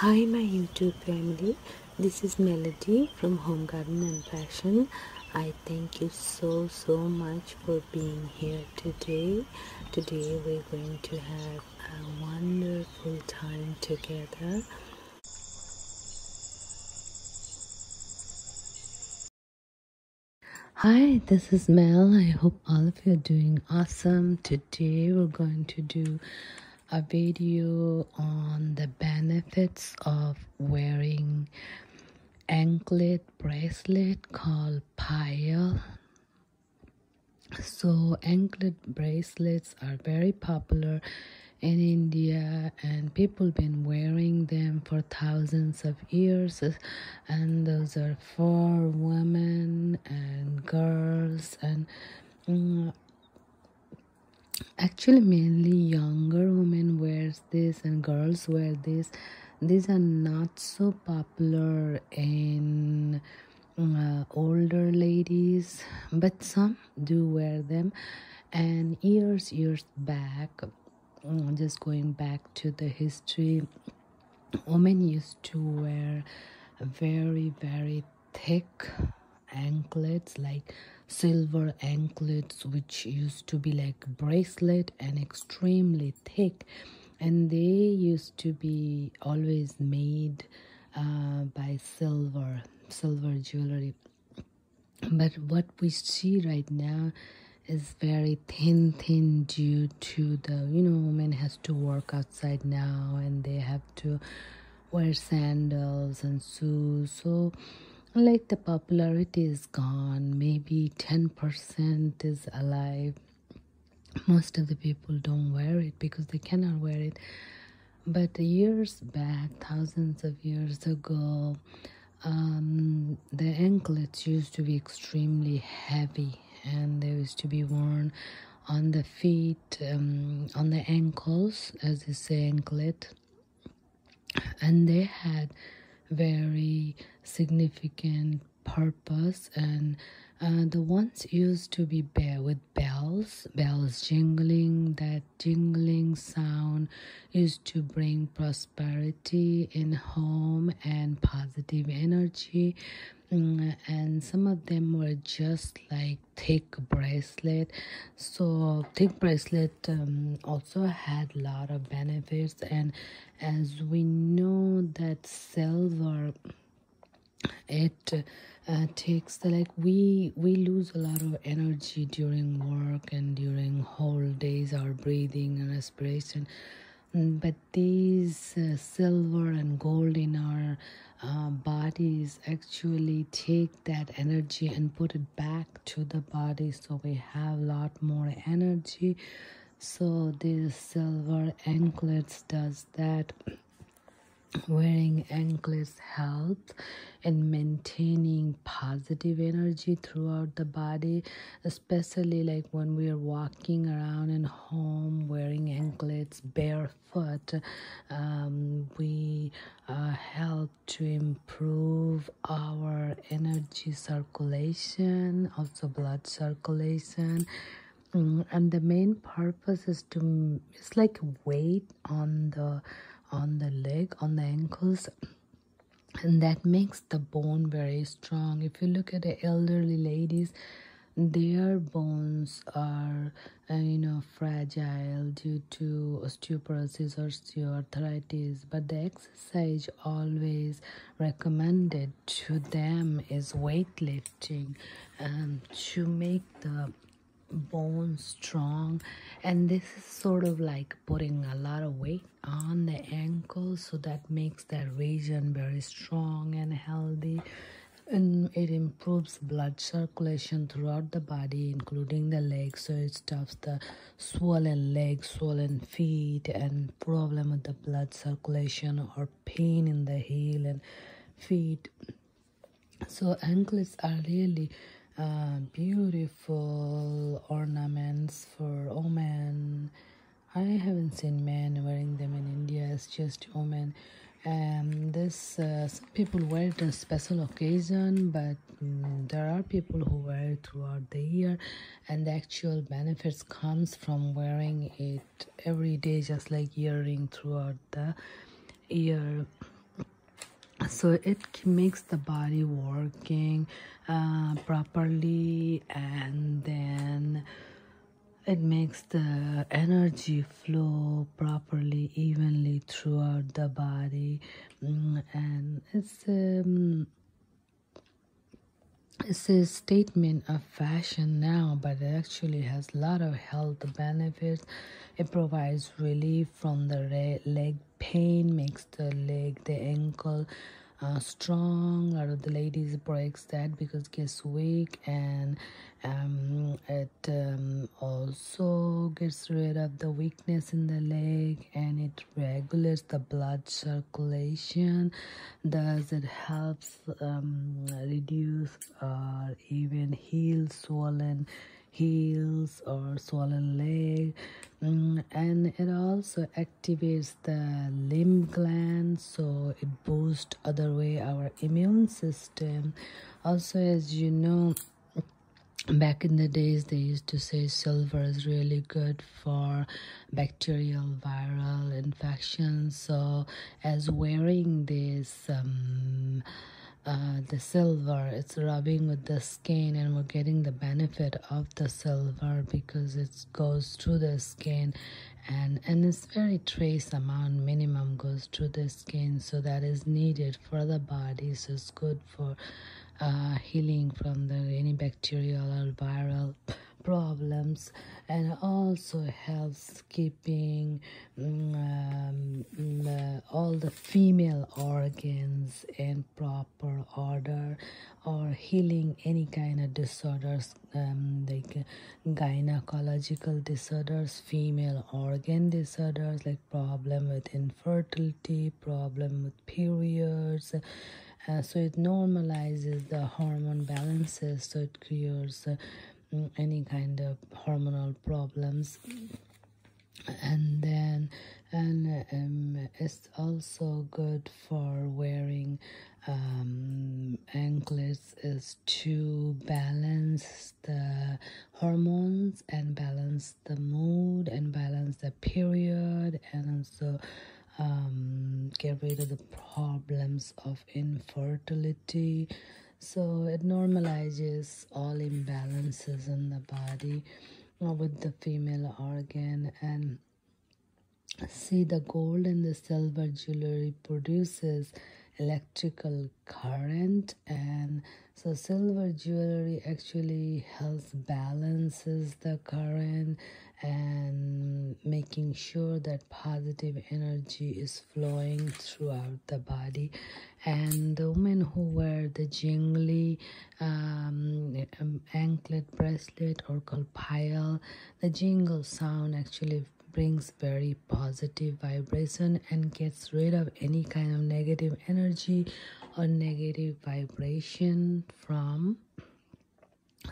Hi my YouTube family, this is Melody from Home Garden and Fashion. I thank you so so much for being here today. Today we're going to have a wonderful time together. Hi, this is Mel. I hope all you are doing awesome. Today we're going to do a video on the benefits of wearing anklet bracelet called pile. So anklet bracelets are very popular in India and people been wearing them for thousands of years and those are for women and girls and uh, actually mainly younger women wears this and girls wear this these are not so popular in uh, older ladies but some do wear them and years years back mm, just going back to the history women used to wear very very thick anklets like silver anklets which used to be like bracelet and extremely thick and they used to be always made uh, by silver silver jewelry but what we see right now is very thin thin due to the you know women has to work outside now and they have to wear sandals and shoes so like the popularity is gone maybe 10% is alive most of the people don't wear it because they cannot wear it but years back thousands of years ago um, the anklets used to be extremely heavy and they used to be worn on the feet um, on the ankles, as they say, anklet, and they had very significant purpose and uh, the ones used to be bare with bells bells jingling that jingling sound used to bring prosperity in home and positive energy Mm, and some of them were just like thick bracelet so thick bracelet um, also had a lot of benefits and as we know that silver it uh, takes like we we lose a lot of energy during work and during whole days our breathing and respiration mm, but these uh, silver and gold in our uh, bodies actually take that energy and put it back to the body so we have a lot more energy so these silver anklets does that wearing anklets helps in maintaining positive energy throughout the body especially like when we are walking around in home wearing anklets bare but um, we help to improve our energy circulation also blood circulation mm, and the main purpose is to it's like weight on the on the leg on the ankles and that makes the bone very strong if you look at the elderly ladies their bones are uh, you know fragile due to osteoporosis or osteoarthritis but the exercise always recommended to them is weightlifting um, to make the bone strong and this is sort of like putting a lot of weight on the ankles, so that makes that region very strong and healthy and it improves blood circulation throughout the body including the legs so it stops the swollen legs swollen feet and problem with the blood circulation or pain in the heel and feet so anklets are really uh, beautiful ornaments for women i haven't seen men wearing them in india it's just women and um, this uh, some people wear it on special occasion but mm, there are people who wear it throughout the year and the actual benefits comes from wearing it every day just like earring throughout the year so it makes the body working uh, properly and then it makes the energy flow properly, evenly throughout the body, mm, and it's um, it's a statement of fashion now, but it actually has a lot of health benefits. It provides relief from the leg pain, makes the leg, the ankle. Uh, strong a lot of the ladies breaks that because gets weak and um, it it um, also gets rid of the weakness in the leg and it regulates the blood circulation Does it helps um, reduce or even heal swollen heels or swollen leg mm, and it also activates the limb glands, so it boosts other way our immune system also as you know back in the days they used to say silver is really good for bacterial viral infections so as wearing this um, uh, the silver it's rubbing with the skin and we're getting the benefit of the silver because it goes through the skin and and it's very trace amount minimum goes through the skin so that is needed for the body so it's good for uh, healing from the any bacterial or viral problems and also helps keeping mm, um, mm, uh, all the female organs in proper order or healing any kind of disorders um, They can gynecological disorders female organ disorders like problem with infertility problem with periods uh, so it normalizes the hormone balances so it cures uh, mm, any kind of hormonal problems and then and um, it's also good for wearing um, anklets is to balance the hormones and balance the mood and balance the period and also um, get rid of the problems of infertility. So it normalizes all imbalances in the body uh, with the female organ and see the gold and the silver jewelry produces electrical current and so silver jewelry actually helps balances the current and making sure that positive energy is flowing throughout the body and the women who wear the jingli um, um anklet bracelet or called pile the jingle sound actually brings very positive vibration and gets rid of any kind of negative energy or negative vibration from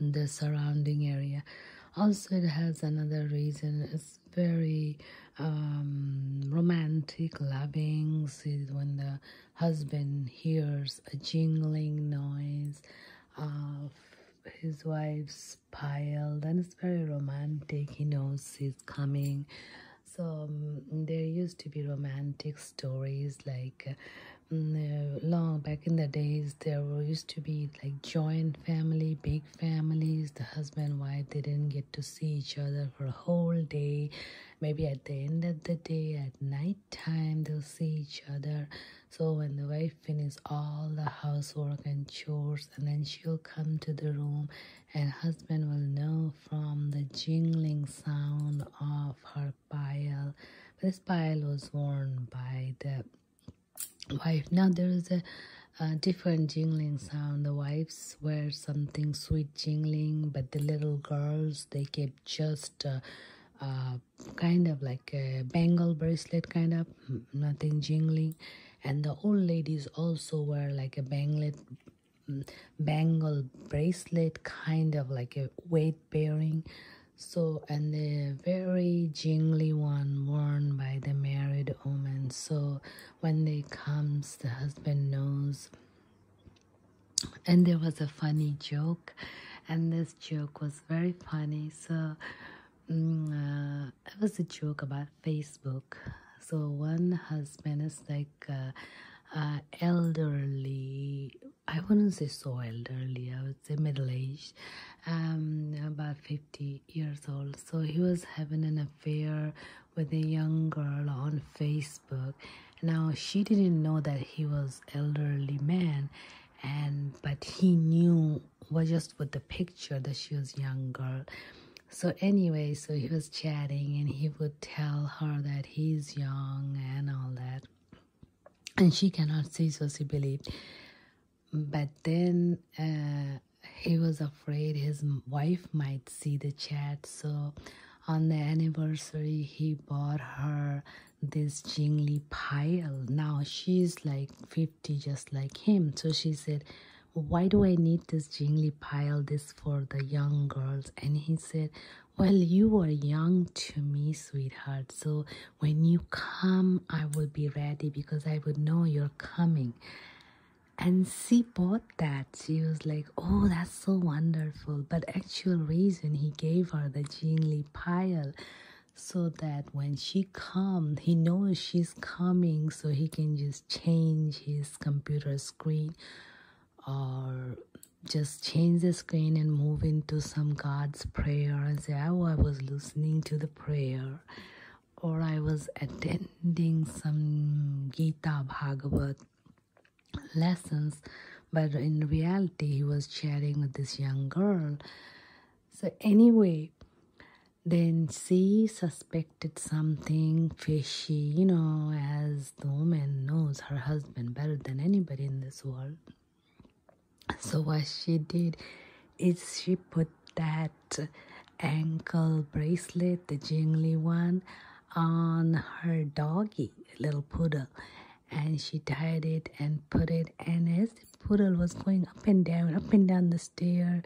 the surrounding area also it has another reason it's very um, romantic loving is when the husband hears a jingling noise of his wife's it's piled and it's very romantic he knows he's coming so um, there used to be romantic stories like mm, uh, long back in the days there used to be like joint family big families the husband and wife they didn't get to see each other for a whole day maybe at the end of the day at night time they'll see each other so when the wife finishes all the housework and chores and then she'll come to the room and husband will know from the jingling sound of her pile. This pile was worn by the wife. Now there is a, different jingling sound. The wives wear something sweet jingling, but the little girls they kept just. kind of like a bangle bracelet kind of nothing jingling and the old ladies also wear like a banglet mm, bangle bracelet kind of like a weight bearing so and the very jingly one worn by the married woman so when they comes the husband knows and there was a funny joke and this joke was very funny so um, mm, it uh, was a joke about Facebook. So one husband is like uh, uh, elderly. I wouldn't say so elderly. I would say middle age, um, about fifty years old. So he was having an affair with a young girl on Facebook. Now she didn't know that he was elderly man, and but he knew was just with the picture that she was young girl so, anyway, so he was chatting and he would tell her that he's young and all that. And she cannot see, so she believed. But then uh, he was afraid his wife might see the chat. So, on the anniversary, he bought her this jingly pile. Now she's like 50, just like him. So she said, why do I need this jingly pile, this for the young girls? And he said, well, you are young to me, sweetheart. So when you come, I will be ready because I would know you're coming. And she bought that. She was like, oh, that's so wonderful. But actual reason he gave her the jingly pile so that when she come, he knows she's coming so he can just change his computer screen or just change the screen and move into some God's prayer and say, Oh, I was listening to the prayer or I was attending some Gita Bhagavat lessons, but in reality, he was chatting with this young girl. So, anyway, then she suspected something fishy, you know, as the woman knows her husband better than anybody in this world. So, what she did is she put that ankle bracelet, the jingly one, on her doggy, little poodle, and she tied it and put it. And as the poodle was going up and down, up and down the stair,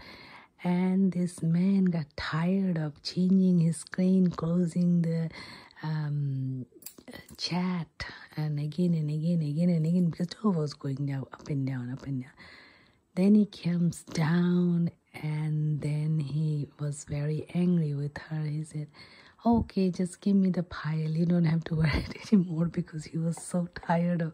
and this man got tired of changing his screen closing the um, chat and again and again again and again because Tova was going down up and down up and down then he comes down and then he was very angry with her he said okay just give me the pile you don't have to worry anymore because he was so tired of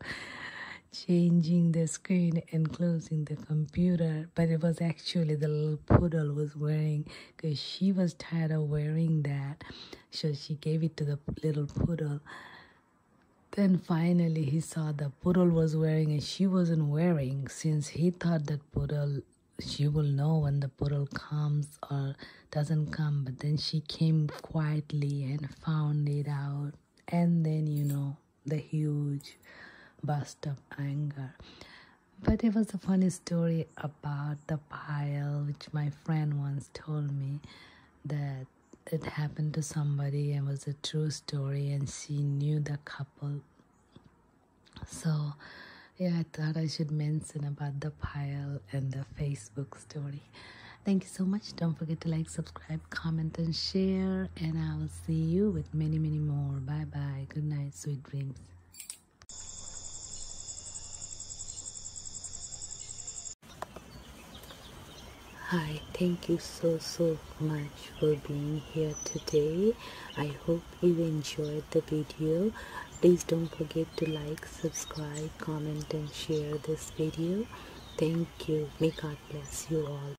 changing the screen and closing the computer but it was actually the little poodle was wearing because she was tired of wearing that. So she gave it to the little poodle. Then finally, he saw the poodle was wearing and she wasn't wearing since he thought that poodle, she will know when the poodle comes or doesn't come. But then she came quietly and found it out. And then, you know the huge burst of anger. But it was a funny story about the pile, which my friend once told me that it happened to somebody and was a true story, and she knew the couple. So, yeah, I thought I should mention about the pile and the Facebook story. Thank you so much. Don't forget to like, subscribe subscribe, comment, and share. And I will see you with many, many more. Bye bye. Good night. Sweet dreams. Hi, thank you so so much for being here today. I hope you enjoyed the video. Please don't forget to like, subscribe, comment and share this video. Thank you. May God bless you all.